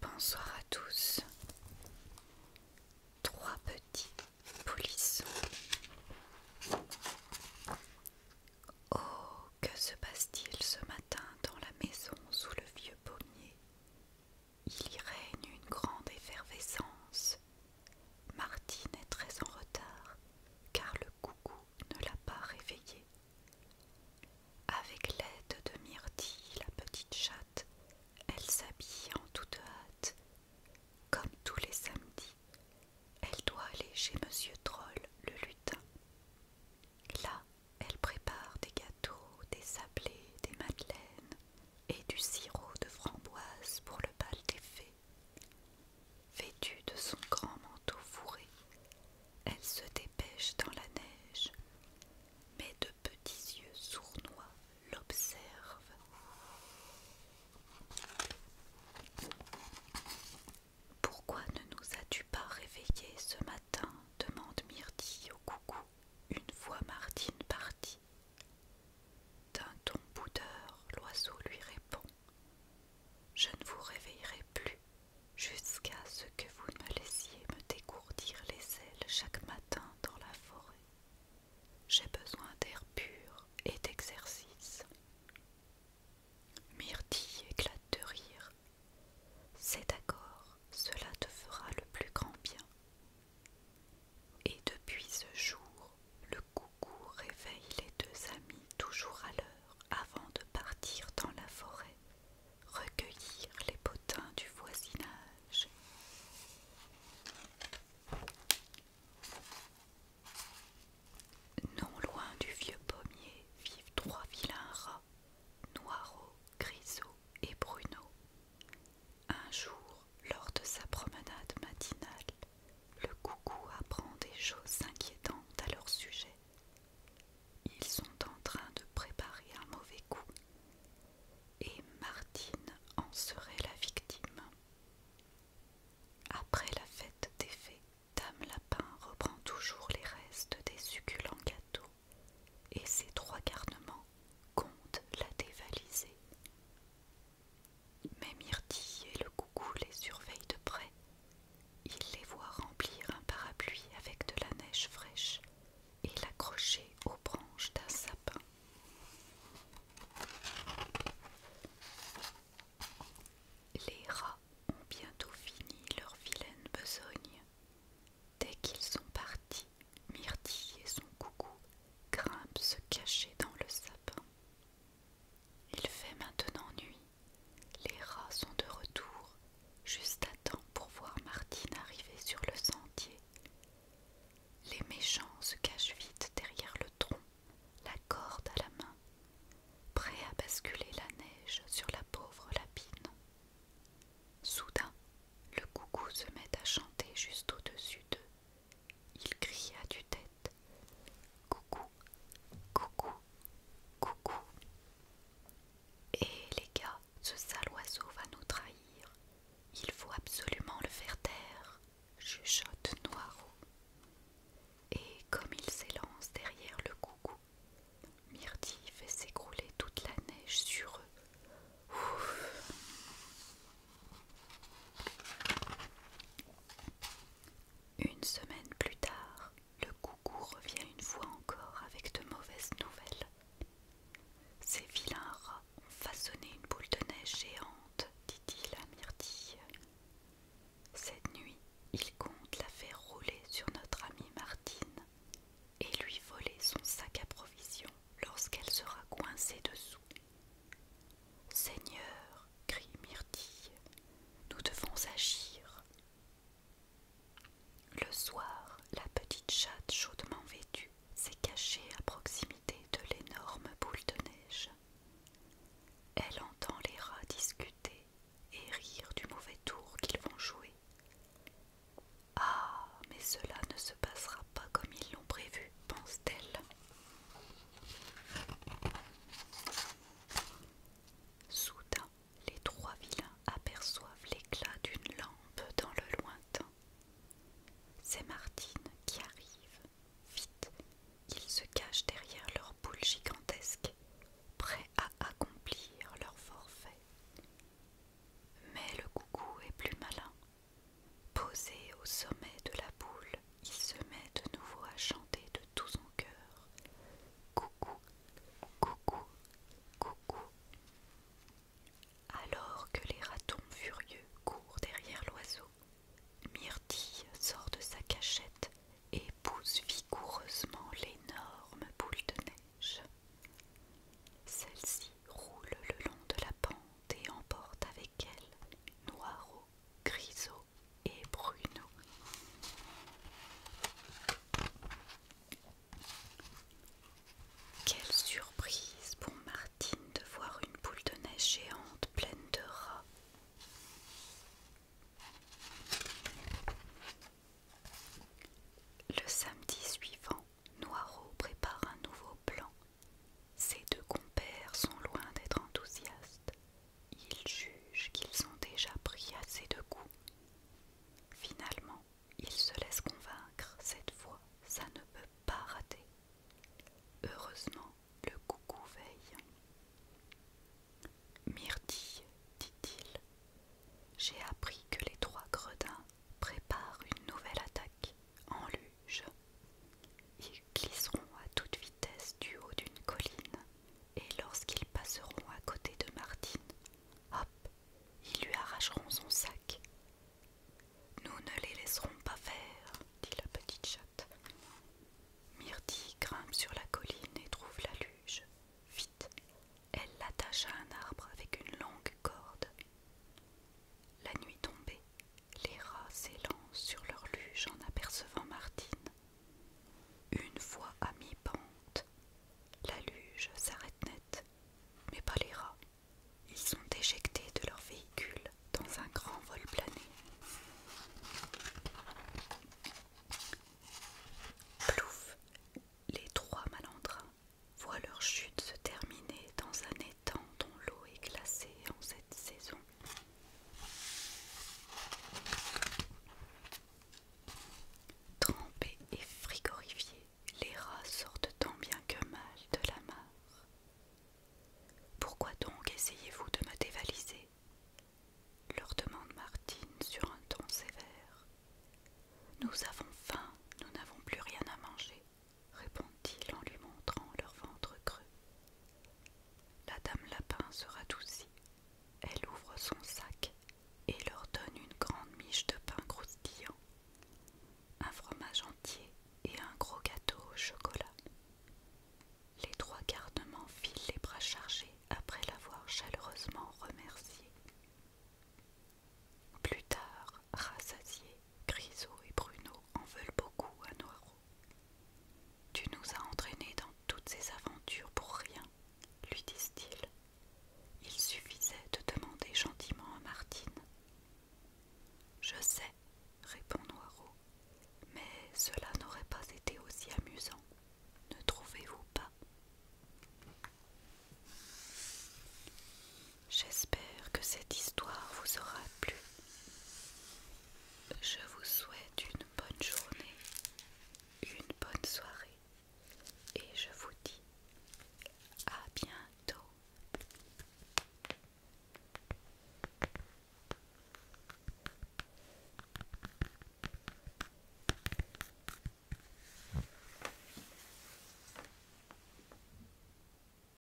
Bonsoir à tous. Trois petits polissons. Oh, que se passe-t-il ce matin dans la maison sous le vieux pommier il y règne une grande effervescence. Martine est très en retard, car le coucou ne l'a pas réveillée. Avec l'aide de Myrtille, la petite chatte, elle s'habille en toute hâte. Comme tous les samedis, elle doit aller chez Monsieur Troll le lutin. Là, elle prépare des gâteaux, des sablés, des madeleines et du sirop de framboise pour le bal des fées. Vêtue de son grand manteau fourré, elle se dépêche dans la neige, mais de petits yeux sournois l'observent. Pourquoi ne nous as-tu pas réveillés ce matin demande Myrtille au coucou, une fois Martine partie. D'un ton boudeur, l'oiseau lui répond Je ne vous réveillerai plus jusqu'à ce que vous me laissiez me dégourdir les ailes chaque matin dans la forêt. J'ai besoin d'air pur et d'exercice. Myrtille éclate de rire. C'est d'accord, cela te fera le plus grand bien. Et depuis ce jour, le coucou réveille les deux amis toujours à l'heure avant de partir dans la forêt, recueillir les potins du voisinage. Non loin du vieux pommier vivent trois vilains rats, Noirot, Grisot et Bruno. Un jour, lors de sa promenade matinale, le coucou apprend des choses inquiétantes à leur sujet. Ils sont en train de préparer un mauvais coup et Martine en serait la victime. Après la fête des fées, Dame Lapin reprend toujours les restes des succulents gâteaux et ses trois garnements comptent la dévaliser. Mais Myrtille et le coucou les surveillent de près. Ils les voient remplir un parapluie avec de la neige fraîche et l'accrocher aux branches d'un sapin. Les rats ont bientôt fini leur vilaine besogne. Dès qu'ils sont partis, Myrtille et son coucou grimpent se cacher dans le sapin. Il fait maintenant nuit. Les rats sont de retour, juste à temps pour voir Martine arriver sur le sentier. Les méchants se cachent vite derrière le tronc la corde à la main, prêt à basculer la neige sur la pauvre lapine. Soudain, le coucou se met à chanter juste au-dessus d'eux. Il cria du tête Coucou, coucou, coucou. Et les gars, ce sale oiseau va nous trahir. Il faut absolument le faire taire chuchote noireau Et comme il s'élance derrière le coucou, Myrtille fait s'écrouler toute la neige sur eux. Une semaine plus tard, le coucou revient une fois encore avec de mauvaises nouvelles. Ces vilains rats ont façonné une boule de neige géante, dit-il à Myrtille. Cette nuit, il compte la faire rouler sur notre amie Martine et lui voler son sac à provisions lorsqu'elle sera coincée dessous. Seigneur, crie Myrtille, nous devons agir. Le soir, la petite chatte chaudement vêtue s'est cachée à proximité de l'énorme boule de neige. Elle entend les rats discuter et rire du mauvais tour qu'ils vont jouer. Ah, mais cela ne se passera pas comme ils l'ont prévu, pense-t-elle. Soudain, les trois vilains aperçoivent l'éclat d'une lampe dans le lointain. C'est Martine qui arrive. Vite, ils se cachent derrière leur boule gigantesque, prêts à accomplir leur forfait. Mais le coucou est plus malin. Posé au sommet de la boule, il se met de nouveau à chanter de tout son cœur. Coucou, coucou, coucou. Alors que les ratons furieux courent derrière l'oiseau, Myrtille sort de sa cachette et pousse vigoureusement l'énorme boule de neige. Celle-ci roule le long de la pente et emporte avec elle Noiro, Grisot et Bruno. Quelle surprise pour Martine de voir une boule de neige géante pleine de rats. Le samedi suivant, Noiro prépare un nouveau plan. Ses deux compères sont loin d'être enthousiastes. Ils jugent qu'ils ont déjà pris assez de coups. Finalement, il se laisse convaincre, cette fois, ça ne peut pas rater. Heureusement, le coucou veille. Myrtille, dit-il, j'ai appris que les trois gredins préparent une nouvelle attaque en luge. Ils glisseront à toute vitesse du haut d'une colline et lorsqu'ils passeront à côté de Martine, hop, ils lui arracheront son sac. Nous ne les laisserons pas faire, dit la petite chatte. Myrtille grimpe sur la colline et trouve la luge. Vite, elle l'attache à un arbre avec une longue corde. La nuit tombée, les rats s'élancent sur leur luge en apercevant Martine. Une fois à mi-pente, la luge s'arrête net, mais pas les rats. Ils sont éjectés de leur véhicule dans un grand vol plané. Plouf, les trois malandrins voient leur chute se terminer dans un étang dont l'eau est glacée en cette saison. Trempés et frigorifiés, les rats sortent tant bien que mal de la mare. Pourquoi donc essayez-vous de me dévaliser leur demande Martine sur un ton sévère. Nous avons faim, nous n'avons plus rien à manger, répond-il en lui montrant leur ventre creux. La dame Lapin se radoucit. Elle ouvre son sac et leur donne une grande miche de pain croustillant, un fromage entier et un gros gâteau au chocolat. Les trois garnements filent les bras chargés après l'avoir chaleureusement remercié. Plus tard, rassasiés, Grisot et Bruno en veulent beaucoup à Noiro. Tu nous as entraînés dans toutes ces aventures pour rien, lui disent-ils. Il suffisait de demander gentiment à Martine. Je sais, répond Noiro, mais cela n'aurait pas été aussi amusant, ne trouvez-vous pas J'espère que cette histoire vous aura plu. Je vous souhaite une bonne journée, une bonne soirée et je vous dis à bientôt.